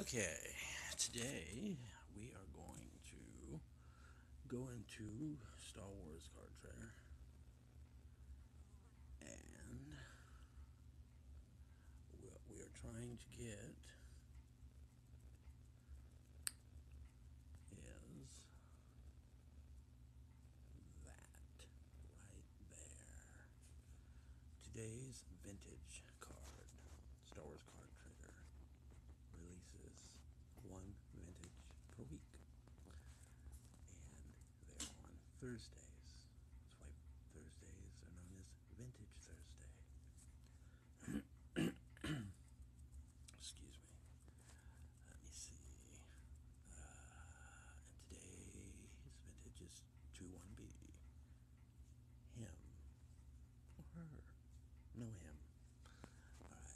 Okay, today we are going to go into Star Wars Card Trader and we are trying to get is that right there. Today's vintage card, Star Wars Card Trader, releases one vintage per week. And they're on Thursdays. That's why Thursdays are known as Vintage Thursday. Excuse me. Let me see. Uh, today's vintage is 2-1B him her. No, him. Alright.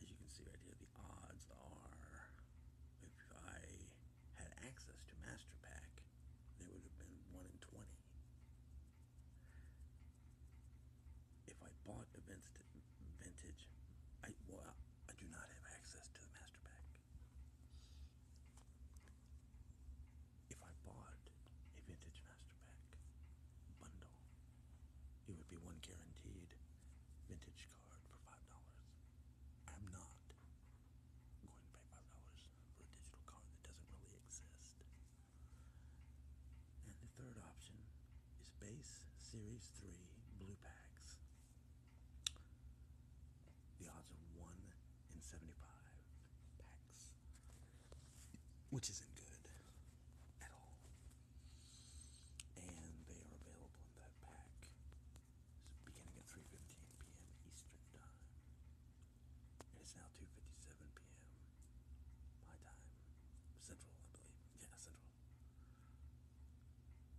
As you can see right here, the odds are if I had access to Master Pack, there would have been 1 in 20. If I bought a vintage, I do not have access to the Master Pack. If I bought a vintage Masterpack bundle, it would be one guaranteed vintage card for $5. I'm not going to pay $5 for a digital card that doesn't really exist. And the third option is base series 3 blue packs the odds are 1 in 75 packs, which isn't good at all. And they are available in that pack beginning at 3.15 p.m. Eastern Time. It is now 2.57 p.m. my time. Central, I believe. Yeah, Central.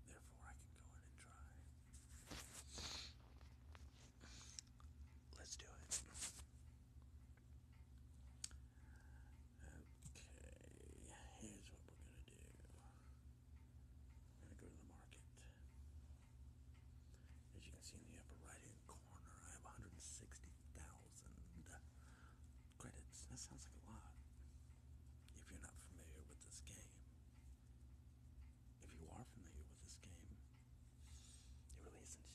Therefore, I can go in and try. Let's do it. Okay, here's what we're gonna do. We're gonna go to the market. As you can see in the upper right-hand corner, I have 160,000 credits. That sounds like a lot. If you're not familiar with this game, if you are familiar with this game, it really isn't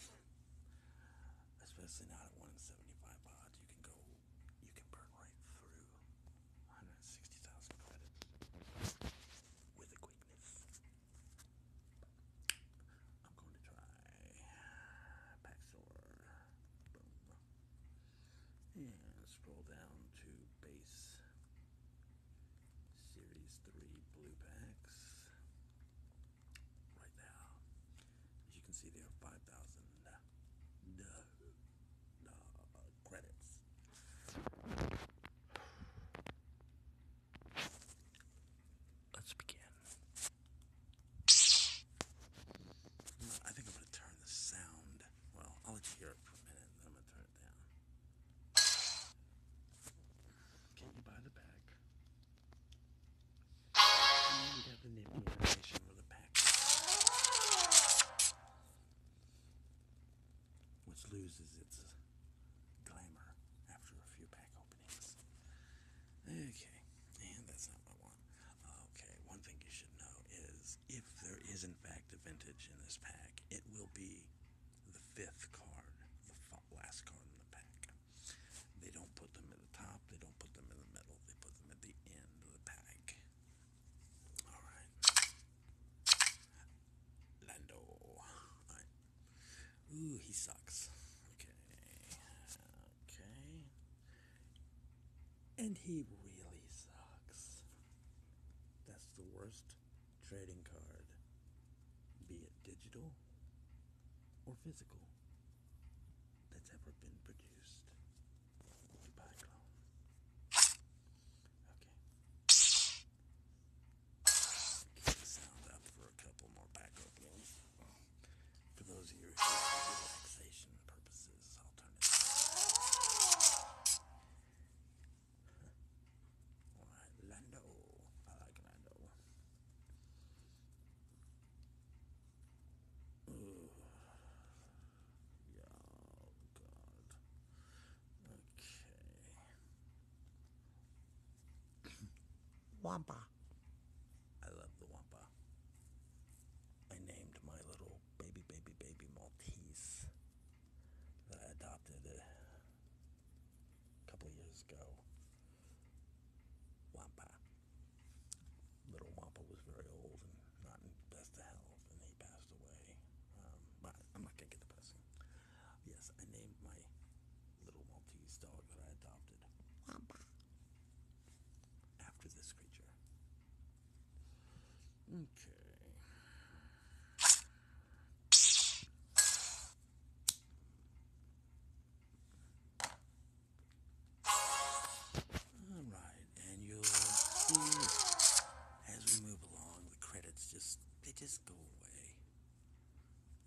shit. Especially not at 1 odds. You can go, you can burn right through 160,000 credits with a quickness. I'm going to try back sword. Boom. And scroll down to base series 3 blue packs right now. As you can see there are 5,000 uh, credits. Let's begin. I think I'm going to turn the sound. Well, I'll let you hear it for a minute, then I'm going to turn can you buy the pack? You got the nippy animation with a pack. Which loses its glamour after a few pack openings. Okay, and that's not what I Okay, one thing you should know is if there is in fact a vintage in this pack, it will be the fifth card, the last card in the pack. They don't put them at the top, they don't put them in the middle, they put them at the end of the pack. Alright. Lando. Ooh, he sucks. Okay. Okay and he really sucks. That's the worst trading card, be it digital or physical, that's ever been produced. Okay. sound up for a couple more back openings. For those of you relaxation purposes, I'll turn it down. Alright, Lando. I like Lando. oh God. Okay. Wampa. I love the Wampa. I named my little baby, baby, baby Maltese that I adopted a couple years ago. Wampa. Little Wampa was very old and not in best health, and he passed away. Um, but I'm not gonna get depressing. Yes, I named my little Maltese dog that I adopted Wampa after this creature. Okay. All right, and you'll see as we move along, the credits just they just go away.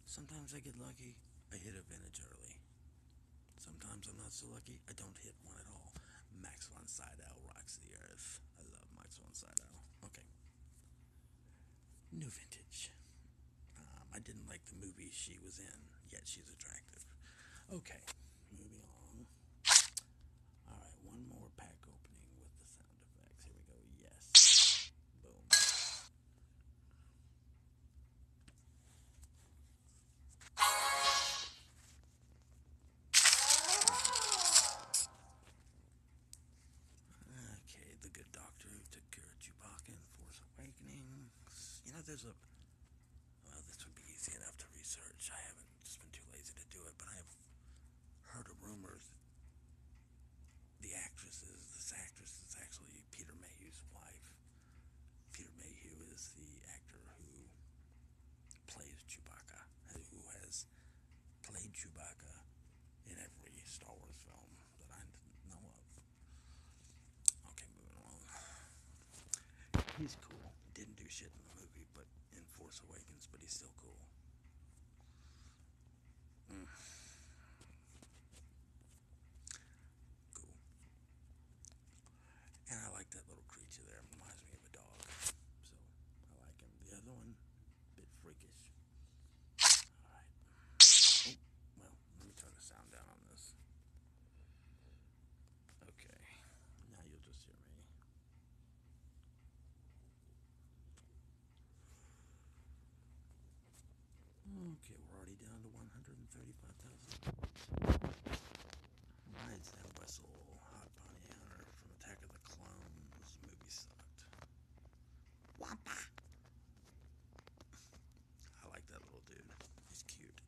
Sometimes I get lucky, I hit a vintage early. Sometimes I'm not so lucky, I don't hit one at all. Max von Sydow rocks the earth. I love Max von Sydow. Okay. New vintage. Um, I didn't like the movie she was in, yet she's attractive. Okay, moving on. All right, one more pack opening with the sound effects. Here we go. Yes. Boom. Okay, the good doctor who took care of Chewbacca in Force Awakenings. You know, there's a. Well, this would be easy enough to research. I haven't just been too lazy to do it, but I have heard of rumors. the actress is this actress is actually Peter Mayhew's wife. Peter Mayhew is the actor who plays Chewbacca, who has played Chewbacca in every Star Wars film that I know of. Okay, moving along. He's cool. Didn't do shit in the movie, but in Force Awakens, but he's still cool. Mm. Cool. And I like that little creature there. It reminds me of a dog. So I like him. The other one, bit freakish. Alright. Oh, well, let me turn the sound down on this. Okay. Now you'll just hear me. Okay, we're already down to 135,000. Ryan Sam Wessel, Hot Bounty Hunter from Attack of the Clones. movie sucked. Wampa! I like that little dude. He's cute.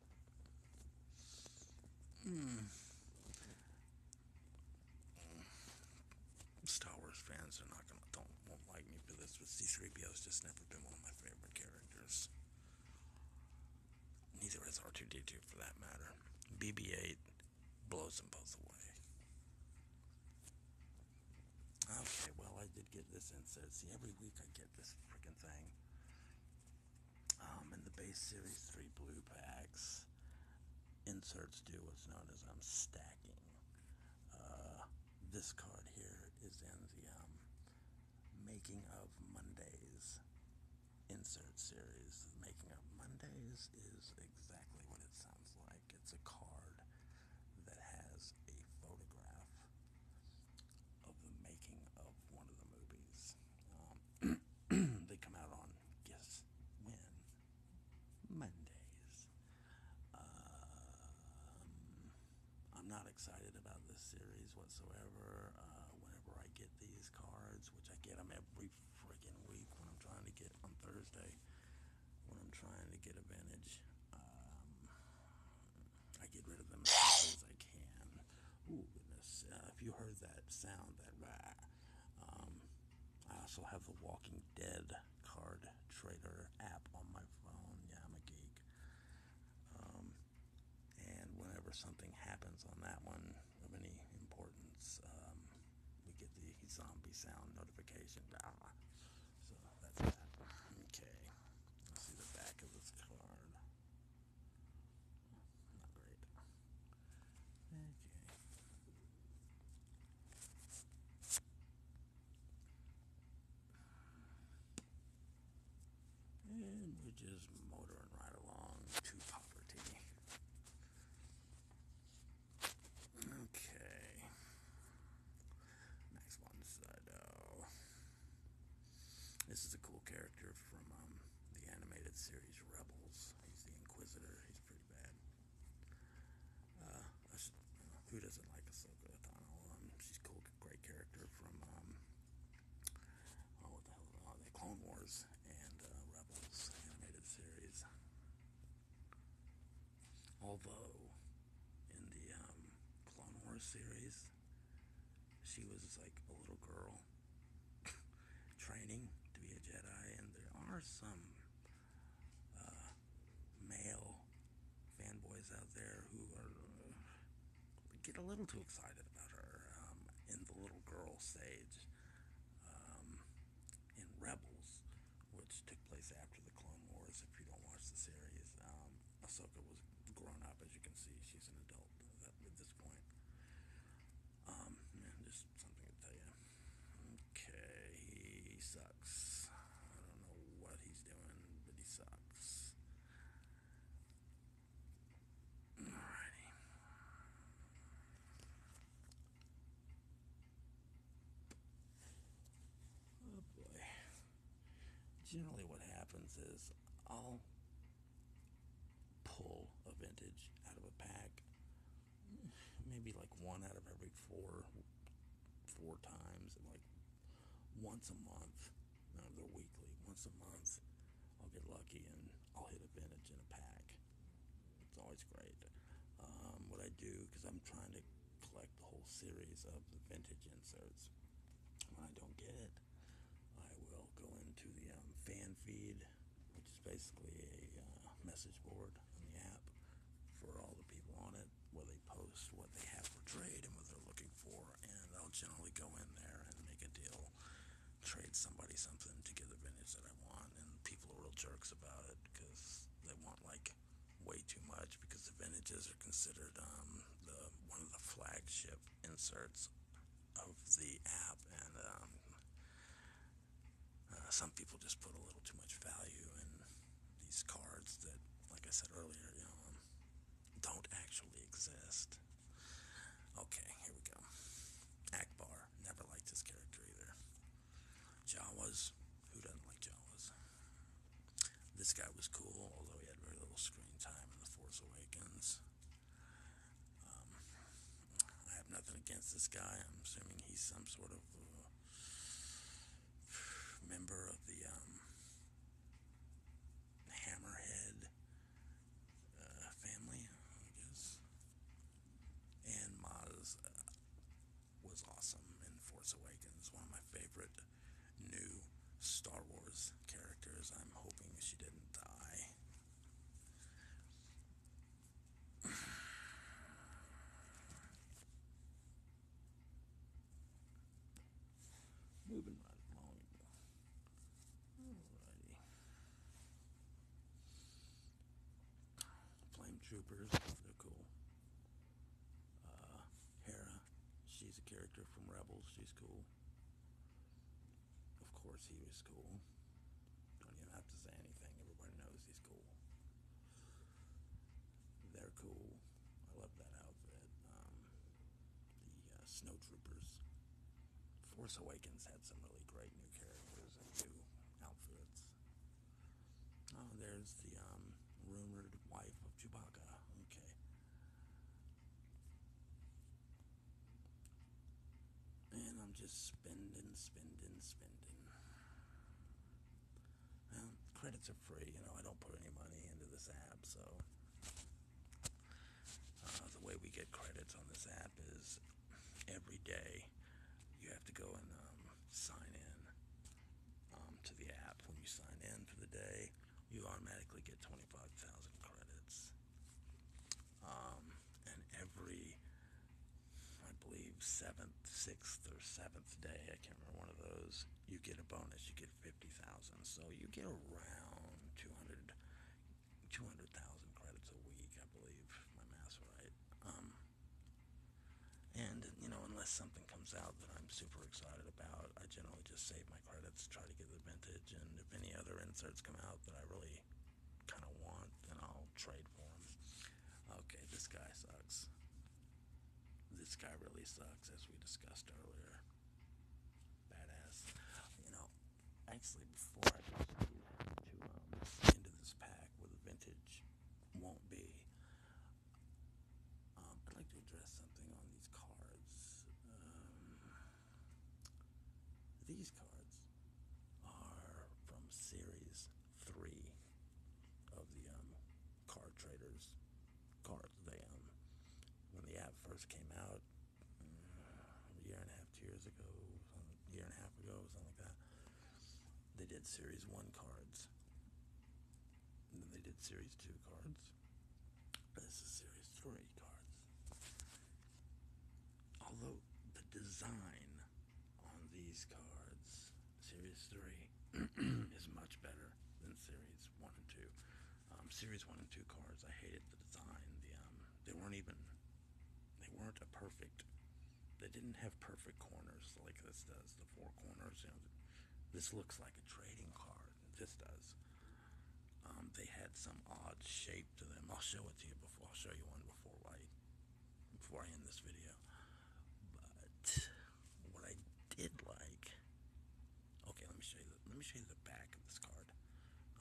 Hmm. Star Wars fans are not gonna don't won't like me for this, but C3PO's just never been one of my favorite characters. Neither is R2D2 for that matter. BB 8 blows them both away. Okay, well, I did get this insert. See, every week I get this freaking thing. Um, in the base series 3 blue packs, inserts do what's known as I'm um, stacking. Uh, this card here is in the um, Making of Mondays insert series. Making Up Mondays is exactly what it sounds like. It's a card that has a photograph of the making of one of the movies. Um, they come out on guess when Mondays. Um, I'm not excited about this series whatsoever. Uh, whenever I get these cards, which I get them every freaking week when I'm trying to get on Thursday, when I'm trying to get advantage. Um, I get rid of them as soon as I can. Ooh, goodness. Uh, if you heard that sound, that rah, um, I also have the Walking Dead card trader app on my phone. Yeah, I'm a geek. Um, and whenever something happens on that one, of any importance. Um, we get the zombie sound notification. Ah, so that's that. Okay, let's see the back of this card. Not great. Okay. And we're just motoring right along to poverty. Okay. Next one, Sido. This is a cool character from um, the animated series Rebels. He's the Inquisitor. He's pretty bad. Uh, who doesn't like Ahsoka Tano? Um, she's cool, great character from um, oh, what the hell? Oh, the Clone Wars and uh, Rebels animated series. Although, in the um, Clone Wars series, she was like a little girl training to be a Jedi, and there are some uh, male fanboys out there who are, uh, get a little too excited um, in the little girl Sage, um, in Rebels, which took place after the Clone Wars. If you don't watch the series, um, Ahsoka was grown up, as you can see. She's an adult at, this point. Um, just something to tell you. Okay, he sucks. I don't know what he's doing, but he sucks. Oh boy. Generally, what happens is I'll pull a vintage out of a pack, maybe like one out of every four, four times, like once a month. not they're weekly. Once a month, I'll get lucky and I'll hit a vintage in a pack. It's always great. Um, what I do, because I'm trying to collect the whole series of the vintage inserts. When I don't get it, I will go into the um, fan feed, which is basically a uh, message board on the app for all the people on it, where they post what they have for trade and what they're looking for, and I'll generally go in there and make a deal trade somebody something to get the vintage that I want, and people are real jerks about it because they want like way too much because the vintages are considered um, the one of the flagship inserts of the app, and um, uh, some people just put a little too much value in these cards that, like I said earlier, um, don't actually exist. Okay, here we go. Akbar, never liked this character either. Jawas, who doesn't like Jawas? This guy was cool, although he had very little screen time in The Force Awakens. Um, I have nothing against this guy. I'm assuming he's some sort of uh, member of the um, Hammerhead uh, family, I guess. And Maz uh, was awesome in Force Awakens, one of my favorite new Star Wars characters. I'm hoping she didn't die. Moving right Flame Troopers, they're cool. Uh, Hera, she's a character from Rebels, she's cool. Of course, he was cool. Don't even have to say anything, everybody knows he's cool. They're cool. I love that outfit. Um, the uh, Force Awakens had some really great new characters and new outfits. Oh, there's the um, rumored wife of Chewbacca. Okay. And I'm just spending, spending, spending. Well, credits are free, you know, I don't put any money into this app, so uh, the way we get credits on this app is every day you have to go and um, sign in um, to the app. When you sign in for the day, you automatically get 25,000 credits. Um, and every, I believe, seventh, sixth, or seventh day, I can't remember one of those, you get a bonus. You get 50,000. So you get around 200 200,000 credits a week, I believe. My math's right. Um, and, you know, unless something comes out that I'm super excited about, I generally just save my credits, try to get the vintage, and if any other inserts come out that I really kind of want, then I'll trade for them. Okay, this guy sucks. This guy really sucks, as we discussed earlier. Badass. You know, actually before I proceed to um, this pack where the vintage won't be, um, I'd like to address something on these cards. Um, these cards are from Series 3 of the um, Card Traders cards. They, um, when the app first came out, a year and a half, two years ago, a year and a half ago, something like that. They did Series 1 cards. then they did Series 2 cards. This is Series 3 cards. Although the design on these cards, Series 3, is much better than Series 1 and 2. Um, Series 1 and 2 cars. I hated the design. The, um, they weren't even, they weren't a perfect, they didn't have perfect corners like this does. The four corners, this looks like a trading card. This does. Um, they had some odd shape to them. I'll show it to you before, i show you one before I, before I end this video. But what I did like, okay, let me show you let me show you the back of this car.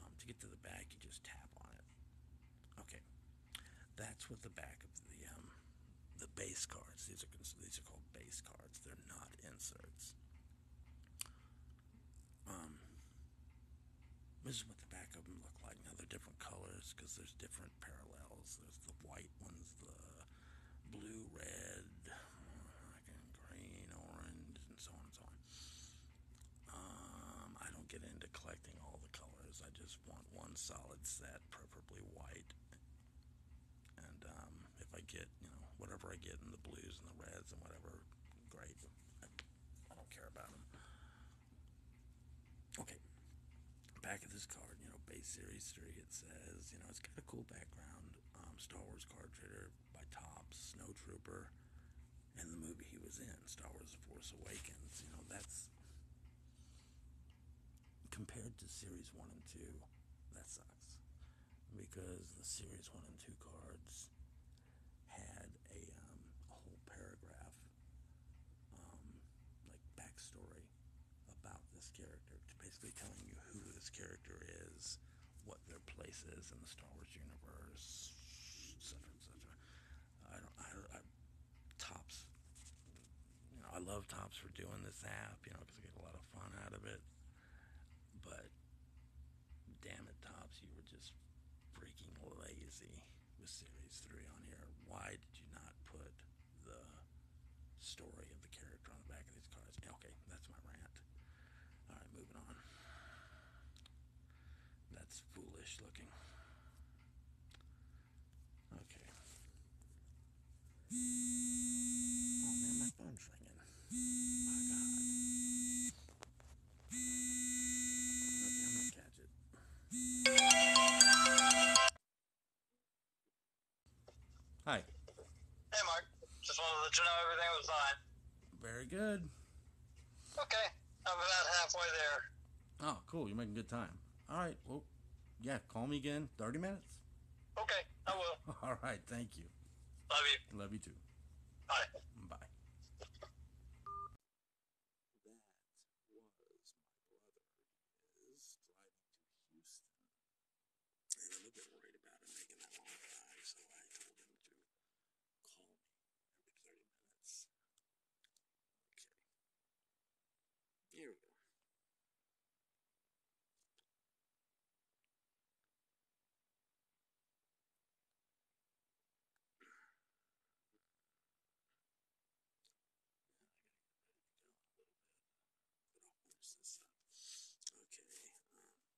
Um, to get to the back, you just tap on it. Okay, that's what the back of the um, the base cards. These are these are called base cards. They're not inserts. Um, this is what the back of them look like. Now they're different colors because there's different parallels. There's the white ones, the blue, red, uh, green, orange, and so on and so on. Um, I don't get into collecting all the colors. I just want one solid set, preferably white. And um, if I get, you know, whatever I get in the blues and the reds and whatever, great. I, don't care about them. Okay, back of this card, you know, base series three, it says, you know, it's got cool background. Um, Star Wars card trader by Tops, Snowtrooper, and the movie he was in, Star Wars: The Force Awakens. You know, that's compared to Series One and Two. That sucks because the Series One and Two cards had a, um, whole paragraph, um, like backstory about this character, basically telling you who this character is what their place is in the Star Wars universe, etc., etc. I don't, I, tops. You know, I love tops for doing this app, you know, because I get a lot of fun out of it. But damn it, tops, you were just freaking lazy with Series Three on here. Why did you not put the story of the character on the back of these cards? Okay, that's my rant. All right, moving on. That's foolish looking. Okay. Oh man, my phone's ringing. My God. Okay, I'm gonna catch it. Hi. Hey, Mark. Just wanted to let you know everything was fine. Very good. Okay, I'm about halfway there. Oh, cool. You're making good time. All right. Well, yeah, call me again. 30 minutes? Okay, I will. All right. Thank you. Love you. Love you too. Bye. Bye call me every 30 minutes. Okay. Here we go. Okay, um,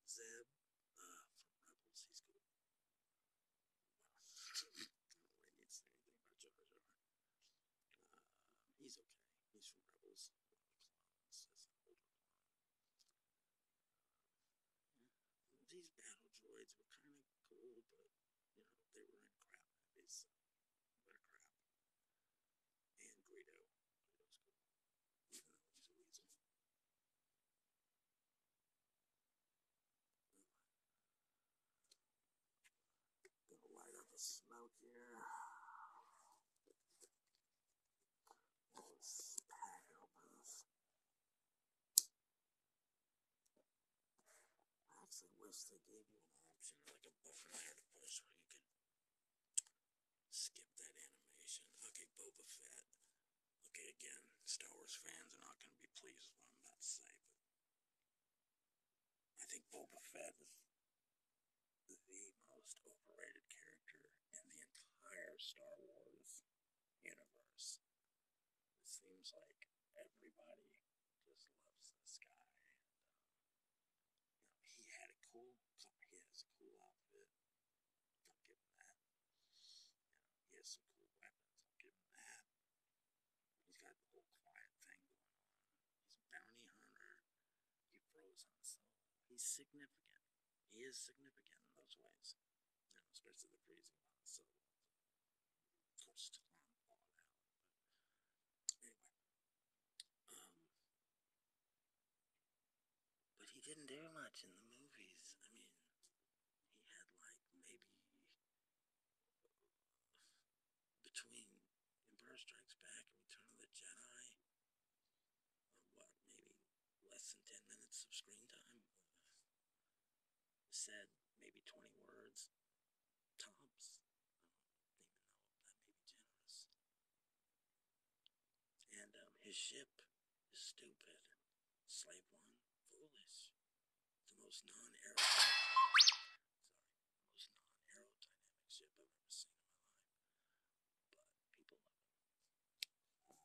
Zeb from Rebels. He's cool. I don't really need anything about Jar Jar. he's okay. He's from Rebels. these battle droids were kind of cool, but, you know, they were crap movies. So crap. And Guido. Gonna light up the smoke here. actually wish they gave you an option like a button there push where you could skip that animation. Okay, Boba Fett. Okay, again, Star Wars fans are not going to be pleased with what I'm about to say, but I think Boba Fett is the most overrated character in the entire Star Wars universe. It seems like everybody just loves this guy. Uh, you know, he had a cool, he has a cool outfit. I'll give him that. he has some cool weapons. I'll give him that. He's got the whole quiet thing going on. He's a bounty hunter. He froze on so he's significant. He is significant in those ways. especially the freezing So anyway. Um, but he didn't do much in the movies. I mean, he had like maybe between Empire Strikes Back and Return of the Jedi, what, maybe less than 10 minutes of screen time? Uh, said maybe 20 words, tops. Um, his ship is stupid. Slave one, Foolish, the most non-aerodynamic, ship I've ever seen in my life. But people love it. I've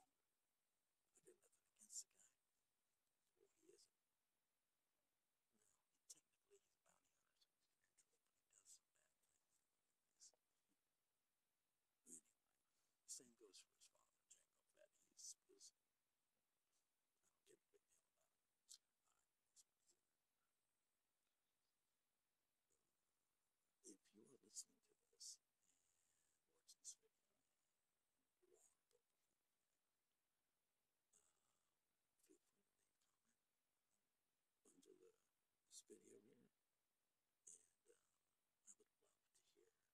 been nothing against the guy. Well, he is No, technically he's a bounty hunter, so anyway. Same goes for his father, Jacob, that a big deal about it. Right, if you are listening to this watching this video, leave a comment under the, this video And uh, I would love to hear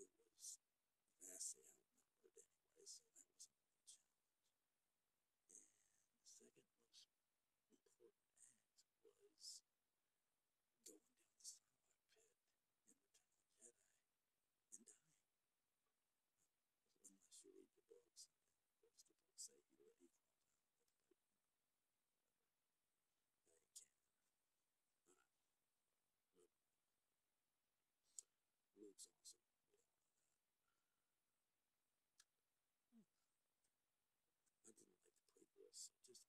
it was vastly outnumbered anyway, so that was a real challenge. And the second most important act was going down the Starlight Pit in Return of the Jedi and dying. Unless you read the books, and of course the books say you were equal time with the they can. But, but uh, Luke's awesome. I didn't like the prequels, so just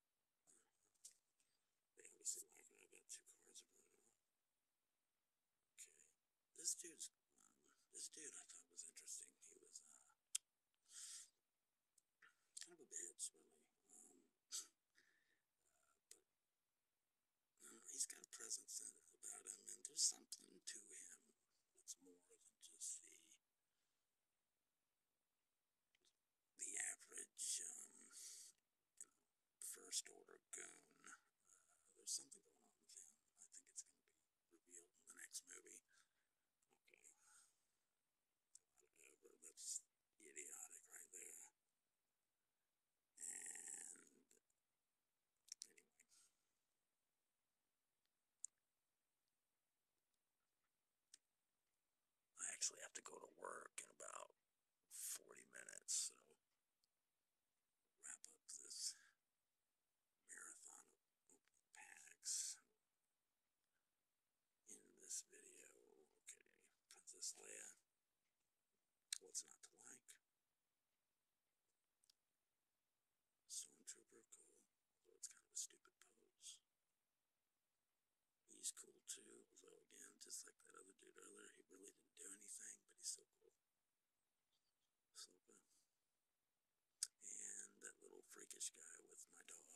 This dude's this dude I thought was interesting. He was kind of a bitch, really. but uh, he's got a presence about him, and there's something to him that's more than just the the average you um, first order goon. Uh, there's something going on with him. I think it's going to be revealed in the next movie. Okay. That's idiotic right there. And anyway. I actually have to go to work in about 40 minutes, so wrap up this marathon opening packs in this video. Okay, Princess Leia. What's not to like? Stormtrooper, cool. Although it's kind of a stupid pose. He's cool too, although again, just like that other dude earlier, he really didn't do anything, but he's still cool. And that little freakish guy with my dog.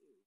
Dude.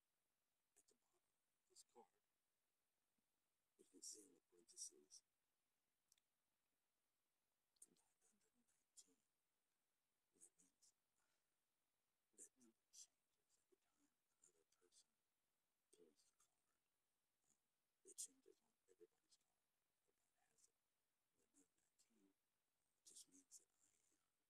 at the bottom of this card, you can see in the parentheses, 919. That means that number changes every time another person pulls the card. Um, it changes on everybody's card. Everybody has it. The 919 just means that I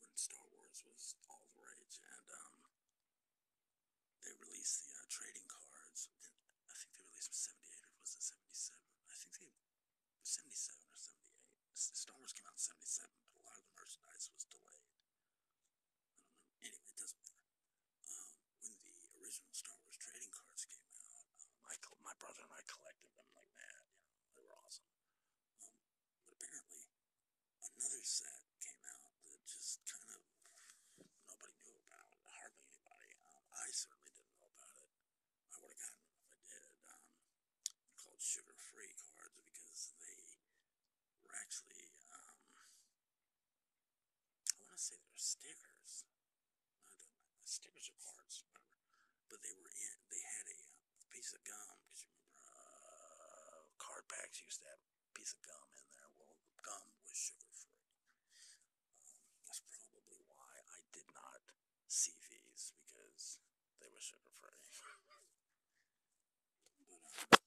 when Star Wars was all the rage, and um, they released the uh, trading cards. I think they released them 78 or was it 77? I think they 77 or 78. Star Wars came out in 77, but a lot of the merchandise was delayed. Anyway, it doesn't matter. Um, when the original Star Wars trading cards came out, um, my brother and I collected them like mad. they were awesome. Um, but apparently, another set came out that just kind of nobody knew about, hardly anybody. Um, I certainly didn't know about it. I would have gotten them if I did. Um, called Sugar Free cards because they were actually, um, I want to say they're stickers. Not that, stickers are cards, whatever. But they were in, they had a, um, piece of gum. Uh, card packs used to have piece of gum in there. Well, gum was sugar free. Um, that's probably why I did not see these because they were sugar free.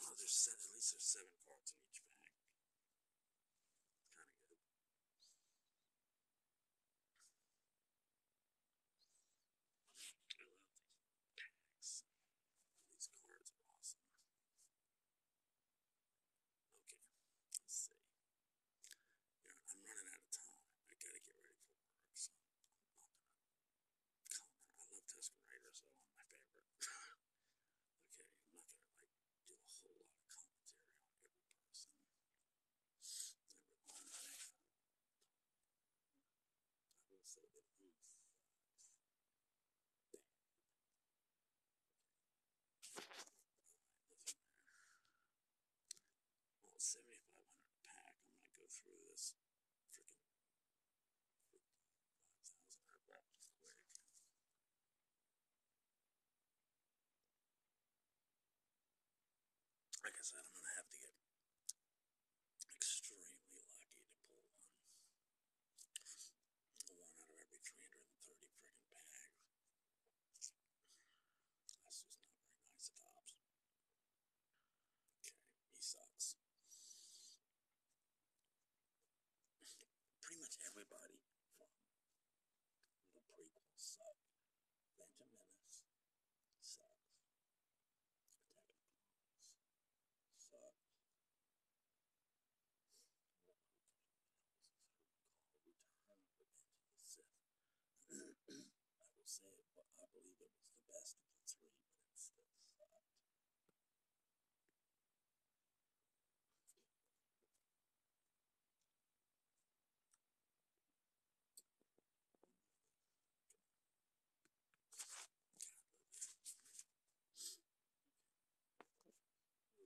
Oh, there's seven, at least there's seven cards in each pack. Kind of good. I love these packs. These cards are awesome. Okay, let's see. Yeah, I'm running out of time. I gotta get ready for work, so I'm up. I love Tuscarator, so one of my favorite. okay, not gonna like do a whole lot of commentary on every person. I will say that he's well, 7500 pack. I'm going to go through this Like I said, I'm going to have to get extremely lucky to pull one. One out of every 330 freaking bags. That's just not very nice of Dobbs. Okay, he sucks. Pretty much everybody from the prequel sucked. Phantom sucks. Attack of the Clones I will say it, but I believe it was the best of the three, but it still sucked. Uh, that guy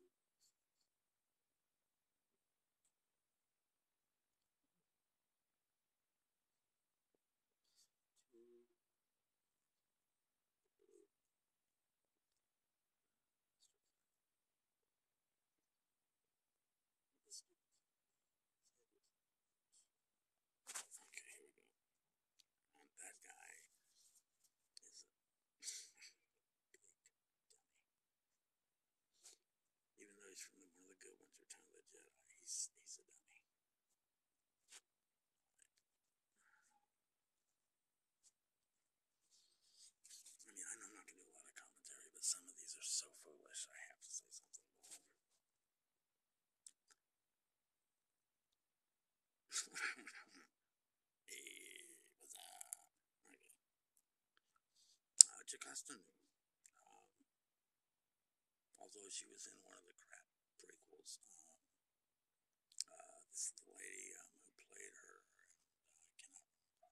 is a big dummy. Even though he's from one of the good ones, Return of the Jedi, he's, he's a dummy. I mean, I know I'm not going to do a lot of commentary, but some of these are so foolish, I have to say something. Hey, although she was in one of the crap prequels. this is the lady who played her, I cannot name,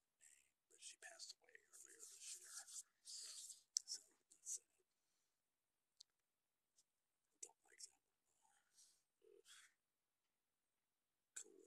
but she passed away earlier this year. that's it. do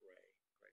Ray, Greg,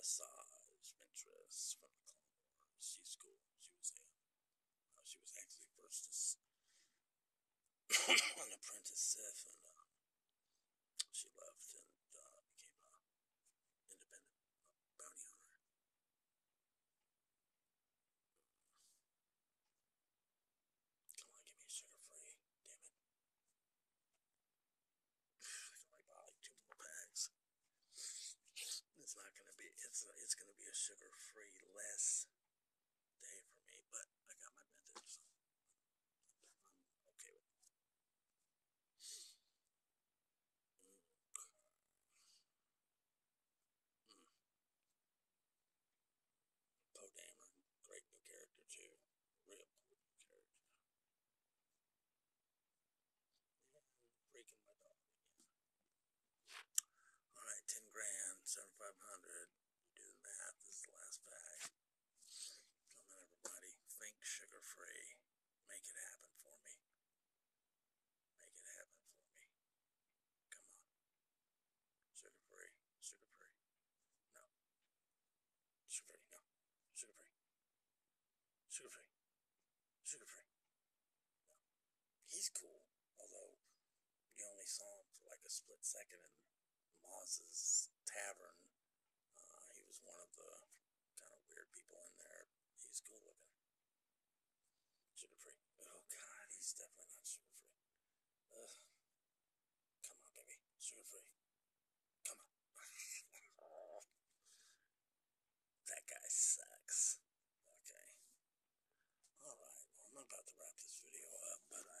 Asajj Ventress from the Clone Wars. She's cool. She was a, uh, she was actually first as an apprentice Sith, and uh, she left and uh, became an independent bounty hunter. Come on, give me sugar free, damn it. I can only buy like two more packs. It's not gonna be. It's a, it's gonna be a sugar-free less day for me, but I got my method, I'm okay with it. Mm. Mm. great new character too. Real cool character. Breaking my dog. All right, ten grand, seventy five hundred. Do the This is the last pack. Come on, everybody. Think sugar free. Make it happen for me. Make it happen for me. Come on. Sugar free. Sugar free. No. Sugar free, no. Sugar free. Sugar free. Sugar free. No. He's cool, although you only saw him for like a split second in Maz's tavern. Uh, he was one of the kind of weird people in there. He's cool looking. Sugar free. Oh god, he's definitely not sugar free. Ugh. Come on, baby. Sugar free. Uh, that guy sucks. Okay. Alright, I'm about to wrap this video up, but I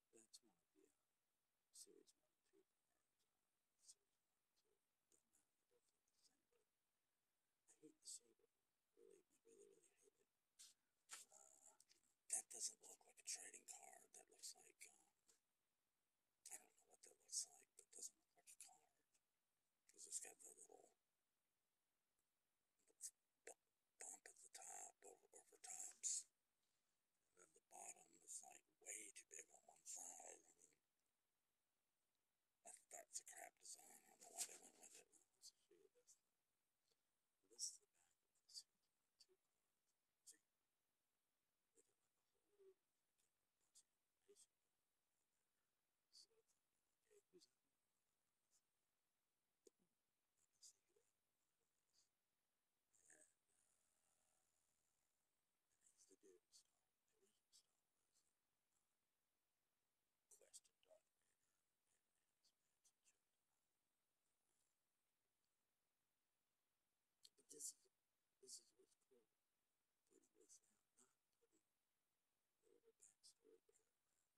That's one of the uh, series one and two cars. I hate the saber. Really, I really, uh, that doesn't look like a trading card. That looks like um, I don't know what that looks like, but doesn't look like a card because it's got the little bump at the top over, tops. And then the bottom is like way too big on one side. that's a crap design. I don't know why they went with it. you and uh, things to do install, that we install those question document or announcements and children. But this is this is what's cool. Putting this out, not putting a backstory paragraph the cards.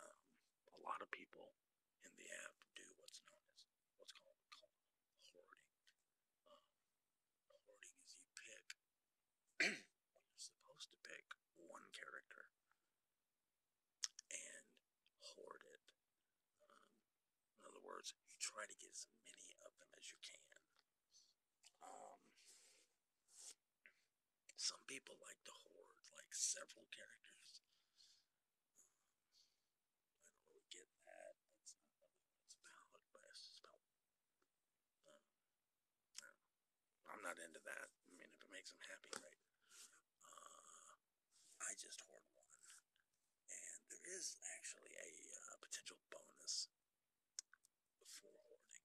Um, a lot of people in the app do what's known as what's called, hoarding. Um, hoarding is you pick, you're supposed to pick one character and hoard it. Um, in other words, you try to get as many of them as you can. Some people like to hoard like several characters. I don't really get that. That's not really what but it's about. Uh, I'm not into that. I mean, if it makes them happy, right? Uh, I just hoard one, and there is actually a uh, potential bonus for hoarding.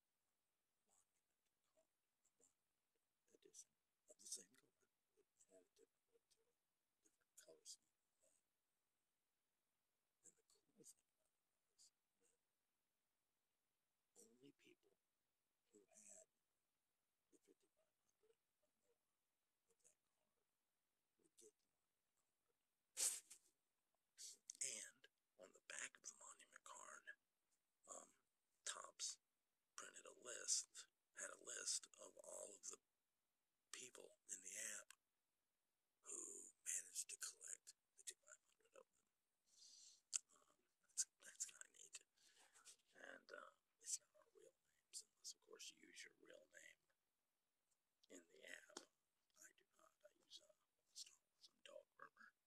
monument, monument of the same color. It different look And the cool thing about it that only people who had the 5500 or card would get the card. And on the back of the monument card, um, printed a list, had a list of all of the people in the app who managed to collect the of them. Um, that's kind of neat. And uh, it's not our real names, unless, of course, you use your real name in the app. I do not. I use uh, Star Wars and Dog Murmur.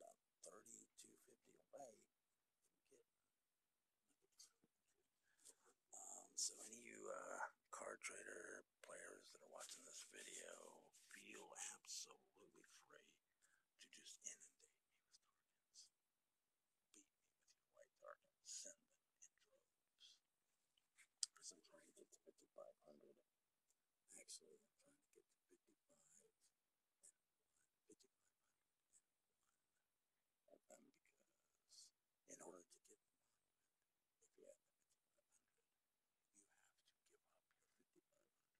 about 30 to 50 away uh, um, so, any you uh, trader players that are watching this video feel absolutely free to just inundate me with targets, beat me with your white targets, send them in droves. This is already get to 5,500. Actually, I'm trying to get to and 1, and 1. Um, because in order to get the you have to give up your 5500 to get the monument.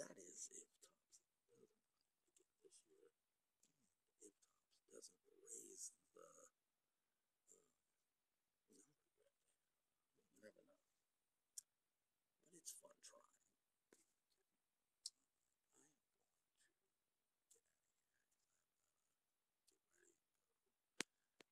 That is if Thompson doesn't doesn't raise the you uh, never know. But it's fun trying.